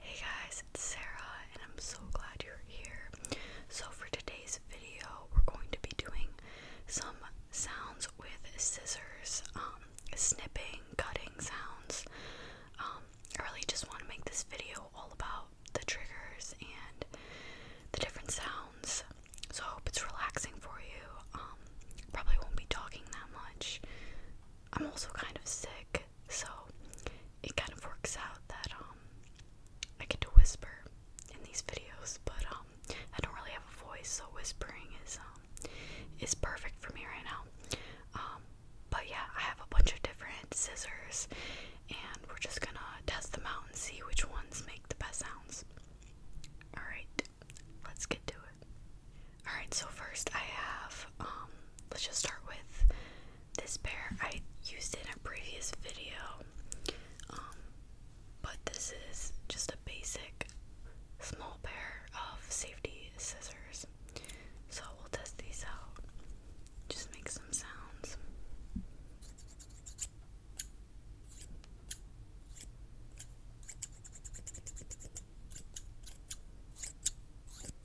Hey guys, it's Sarah and I'm so glad you're here. So for today's video, we're going to be doing some sounds with scissors, um, snipping, cutting sounds. Um, I really just want to make this video all about the triggers and the different sounds. So I hope it's relaxing for you. Um, probably won't be talking that much. I'm also kind of sick so it kind of works out that um I get to whisper in these videos, but um I don't really have a voice, so whispering is um is perfect for me right now. Um, but yeah, I have a bunch of different scissors and we're just gonna test them out and see which ones make the best sounds. Alright, let's get to it. Alright, so first I have, um, let's just start with this pair. I used in a previous video, um, but this is just a basic small pair of safety scissors. So we'll test these out, just make some sounds.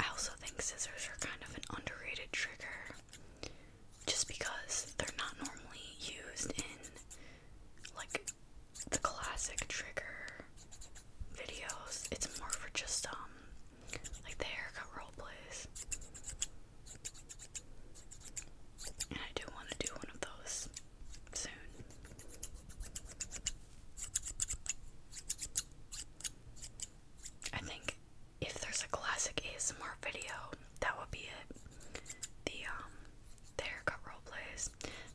I also think scissors are kind of an underrated trigger just because they're not normally used in like the classic trigger videos. It's more for just um like the haircut role plays. And I do want to do one of those soon. I think if there's a classic ASMR video, that would be it. The um plays.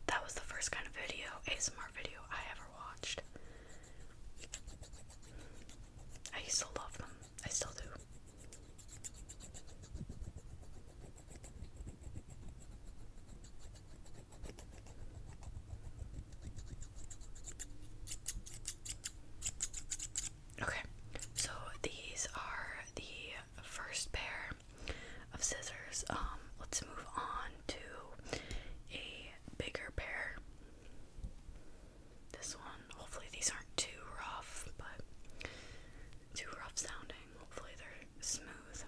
That was the first kind of video, ASMR video I ever watched. I used love them. I still do. Okay, so these are the first pair of scissors. Um, let's move on to a bigger pair. This one, hopefully, these aren't too rough, but too rough sounding. Hopefully, they're smooth.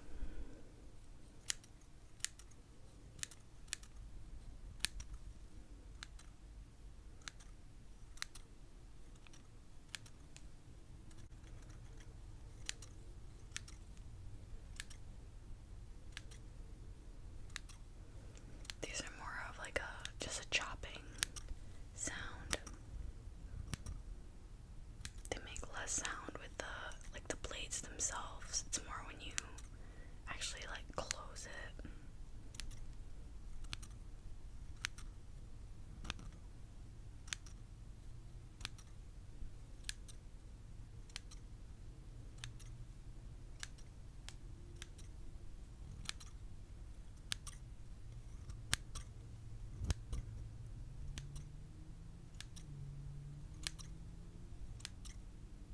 These are more of like a just a chopping sound. They make less sound with the like the blades themselves. It's more when you actually like close it.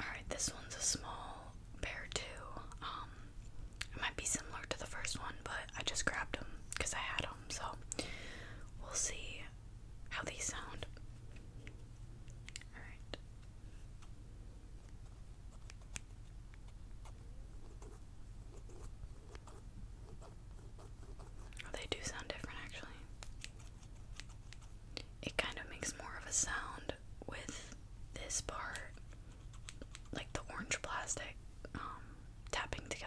Alright, this one's a small pair too. Um, it might be similar to the first one, but I just grabbed them because I had them, so we'll see how these sound. Alright. Oh, they do sound different actually it kind of makes more of a sound with this part, like the orange plastic, um, tapping together.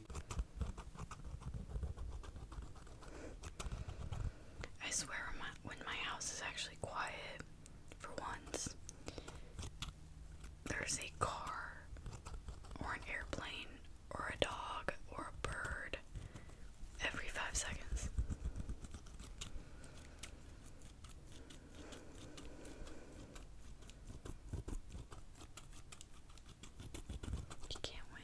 I swear when my, when my house is actually quiet for once, there's a car or an airplane or a dog or a bird every five seconds. You can't win.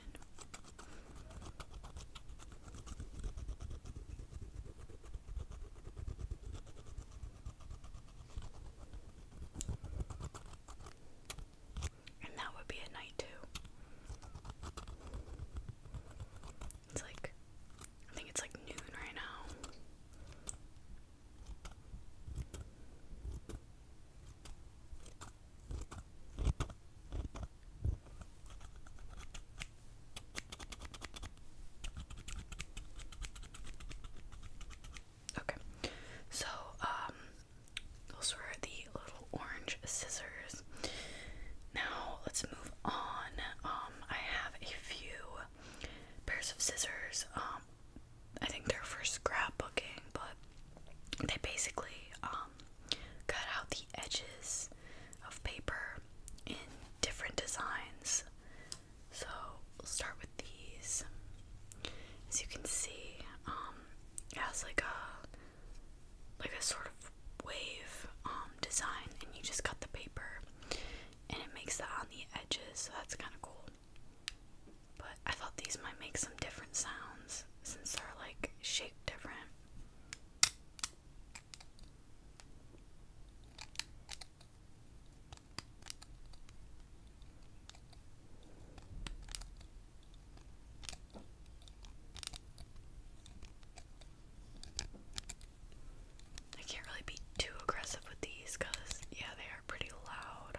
And that would be at night too. It's like, I think it's like noon right now. Okay, so um, those were the little orange scissors. Now let's move on. Um, I have a few pairs of scissors. Um, I think they're for scrapbooking, but they basically um, cut out the edges of paper in different designs. So we'll start with these. As you can see, um, it has like a like a sort of wave um, design, and you just cut the paper, and it makes that on the edges. So that's kind of cool. But I thought these might make some different sounds since they're like shaped different. I can't really be too aggressive with these because, yeah, they are pretty loud.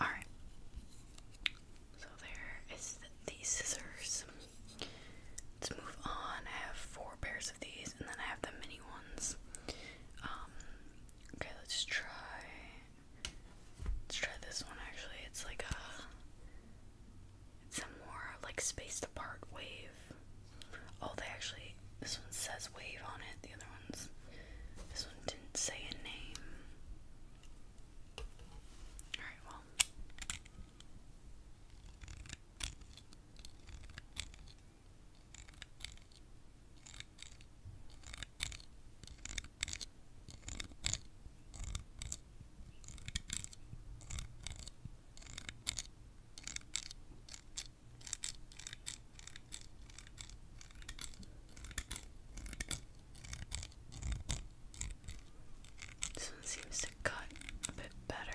All right. So there is the, scissors. Let's move on. I have four pairs of these, and then I have the mini ones. Um, okay, let's try Let's try this one actually. It's like a it's a more like spaced apart wave. Oh, they actually this one says wave on it. The other one's this one didn't say a name. All right, well. This one seems to cut a bit better.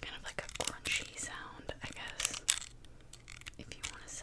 Kind of like a crunchy sound, I guess if you want to say.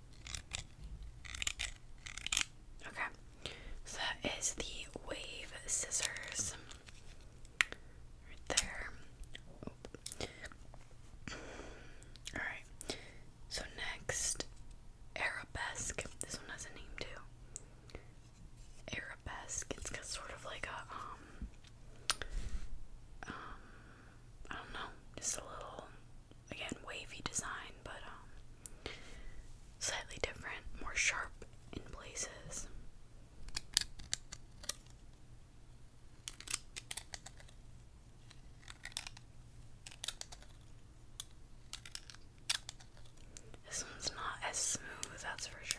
Okay, so that is the wave scissors right there. All right, so next arabesque. This one has a name too. Arabesque. It's got sort of like a um, um I don't know, just a little again wavy design, but um, slightly different, more sharp in places. This one's not as smooth, that's for sure.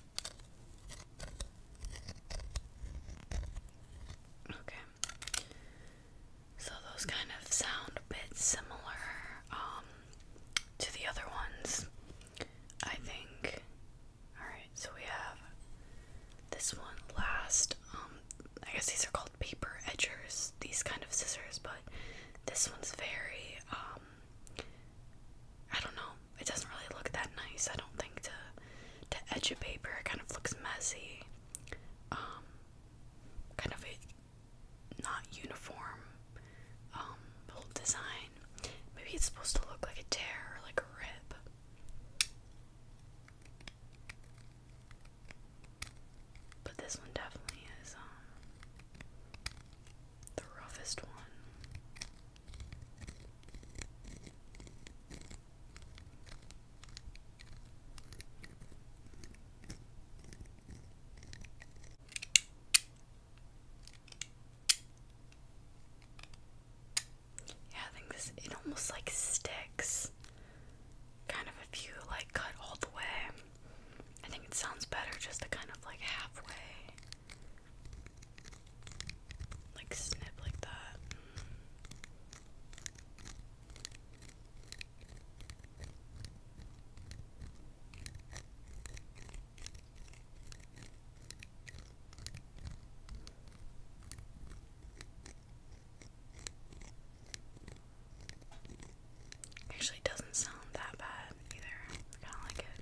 Okay. So those kind of sound a bit similar um, to the other ones. I think. All right, so we have this one last um, I guess these are called paper edgers, these kind of scissors, but this one's very um, I don't know. It doesn't really look that nice. I don't think to to edge a paper. It kind of looks messy. Um, kind of a not uniform um design. Maybe it's supposed to look like a tear or like a rip. But this one definitely is um, the roughest one. Yeah, I think this it almost like sticks. Kind of if you like cut all the way. I think it sounds better just to kind of like halfway. Like snip like that. Actually, doesn't sound that bad either. I kind of like it.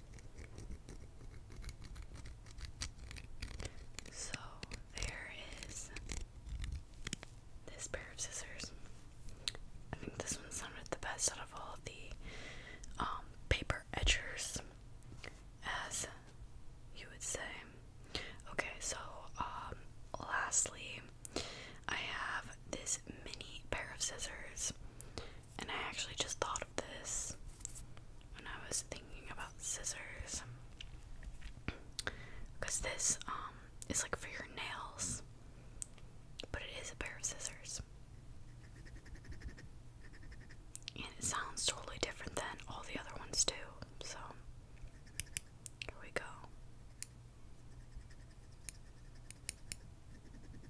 So there is this pair of scissors. I think this one sounded the best out of all the um, paper edgers, as you would say. Okay, so um, lastly, I have this mini pair of scissors. And I actually just thought of this when I was thinking about scissors. Because this um, is like for your nails, but it is a pair of scissors. And it sounds totally different than all the other ones, too. So, here we go.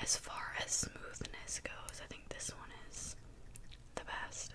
As far as smoothness goes, I think this one is the best.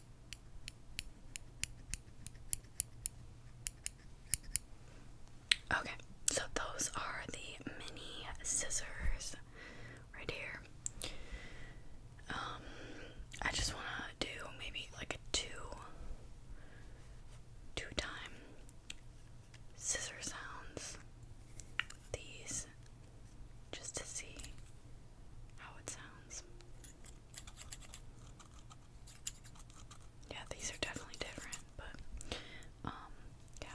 Okay, so those are the mini scissors right here. Um, I just want to do maybe like a two, two time scissor sounds. These, just to see how it sounds. Yeah, these are definitely different, but um, yeah.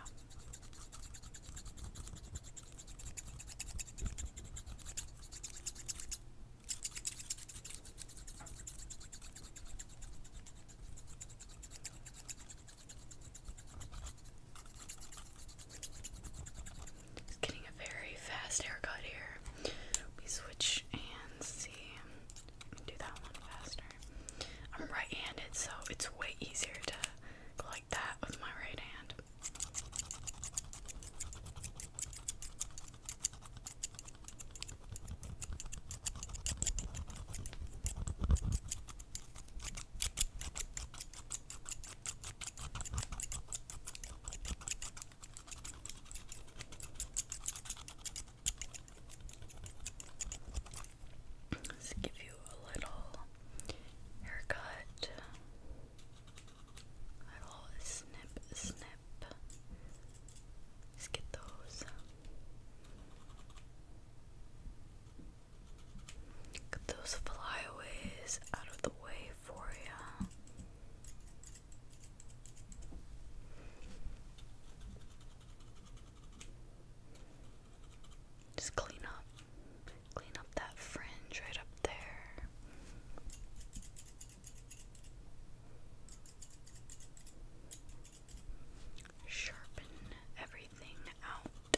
getting a very fast haircut here. We switch I'm right-handed, so it's way easier to go like that with my right hand. Let's give you a little haircut. little snip, snip. Let's get those. Get those flyaways out of the way for you. Just clean up, clean up that fringe right up there. Sharpen everything out.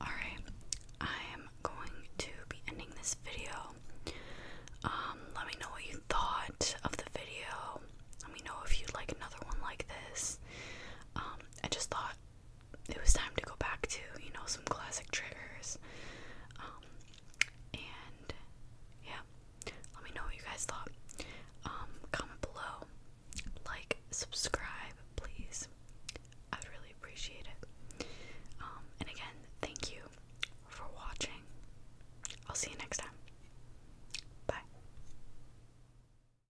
All right, I am going to be ending this video. Um, let me know what you thought of the video. Let me know if you'd like another one like this. Um, I just thought it was time to go back to, you know, some classic triggers. Um, and yeah, let me know what you guys thought. Um, comment below, like, subscribe, please. I'd really appreciate it. Um, and again, thank you for watching. I'll see you next time. Bye.